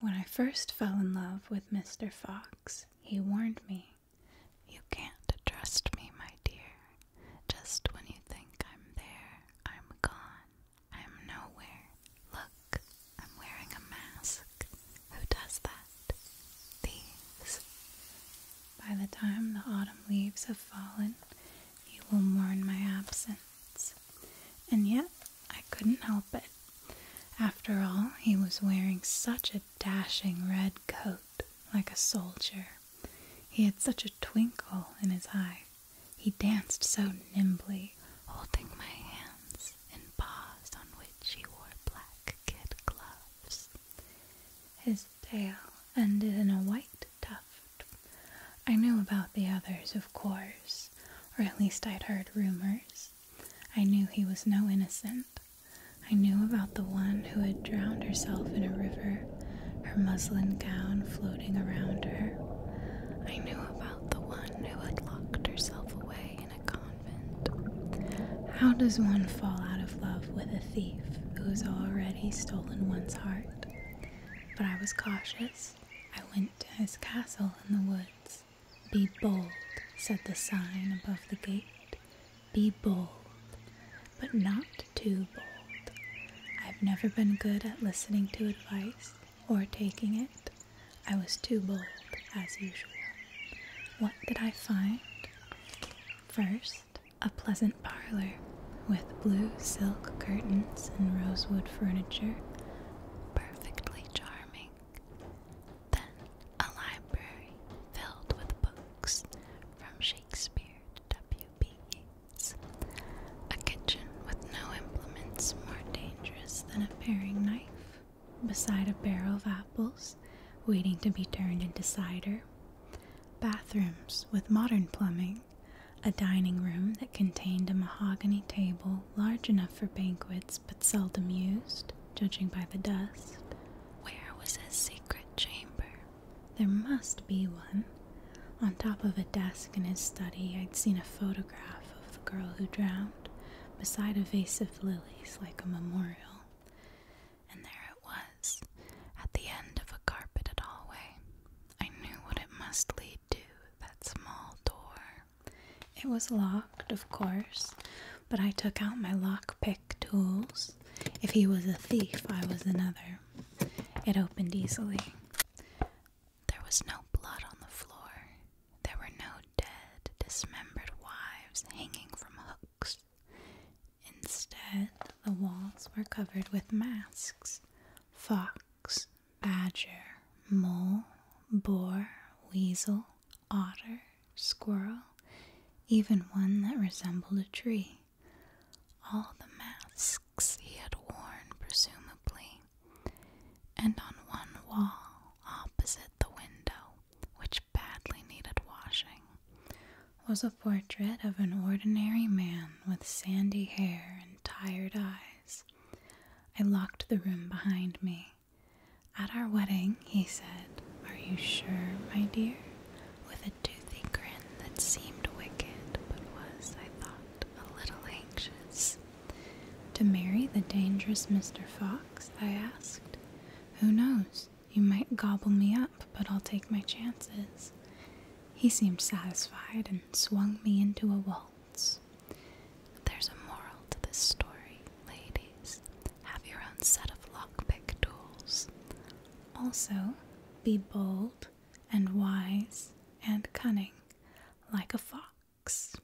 When I first fell in love with Mr. Fox, he warned me, You can't trust me, my dear. Just when you think I'm there, I'm gone. I'm nowhere. Look, I'm wearing a mask. Who does that? Thieves. By the time the autumn leaves have fallen, you will mourn my absence. And yet, I couldn't help it. After all, he was wearing such a dashing red coat, like a soldier. He had such a twinkle in his eye. He danced so nimbly, holding my hands in paws on which he wore black kid gloves. His tail ended in a white tuft. I knew about the others, of course, or at least I'd heard rumors. I knew he was no innocent. I knew about the one who had drowned herself in a river, her muslin gown floating around her. I knew about the one who had locked herself away in a convent. How does one fall out of love with thief who has already stolen one's heart. But I was cautious. I went to his castle in the woods. Be bold, said the sign above the gate. Be bold, but not too bold. I've never been good at listening to advice or taking it. I was too bold, as usual. What did I find? First, a pleasant parlor with blue silk curtains and rosewood furniture, perfectly charming. Then, a library filled with books from Shakespeare to W.B. Yeats. A kitchen with no implements more dangerous than a paring knife beside a barrel of apples waiting to be turned into cider, bathrooms with modern plumbing, a dining room that contained a mahogany table large enough for banquets but seldom used, judging by the dust. Where was his secret chamber? There must be one. On top of a desk in his study, I'd seen a photograph of the girl who drowned beside a vase of lilies like a memorial. And there it was, at the end of a carpeted hallway. I knew what it must lead to that small door. It was locked, of course, but I took out my lockpick tools. If he was a thief, I was another. It opened easily. There was no blood on the floor. There were no dead, dismembered wives hanging from hooks. Instead, the walls were covered with masks fox, badger, mole, boar, weasel, otter, squirrel, even one that resembled a tree. All the masks he had worn, presumably. And on one wall, opposite the window, which badly needed washing, was a portrait of an ordinary man with sandy hair and tired eyes. I locked the room behind me. At our wedding, he said, Are you sure, my dear? with a toothy grin that seemed wicked but was, I thought, a little anxious. To marry the dangerous Mr. Fox. I asked. Who knows? You might gobble me up, but I'll take my chances. He seemed satisfied and swung me into a waltz. There's a moral to this story, ladies. Have your own set of lockpick tools. Also, be bold and wise and cunning, like a fox.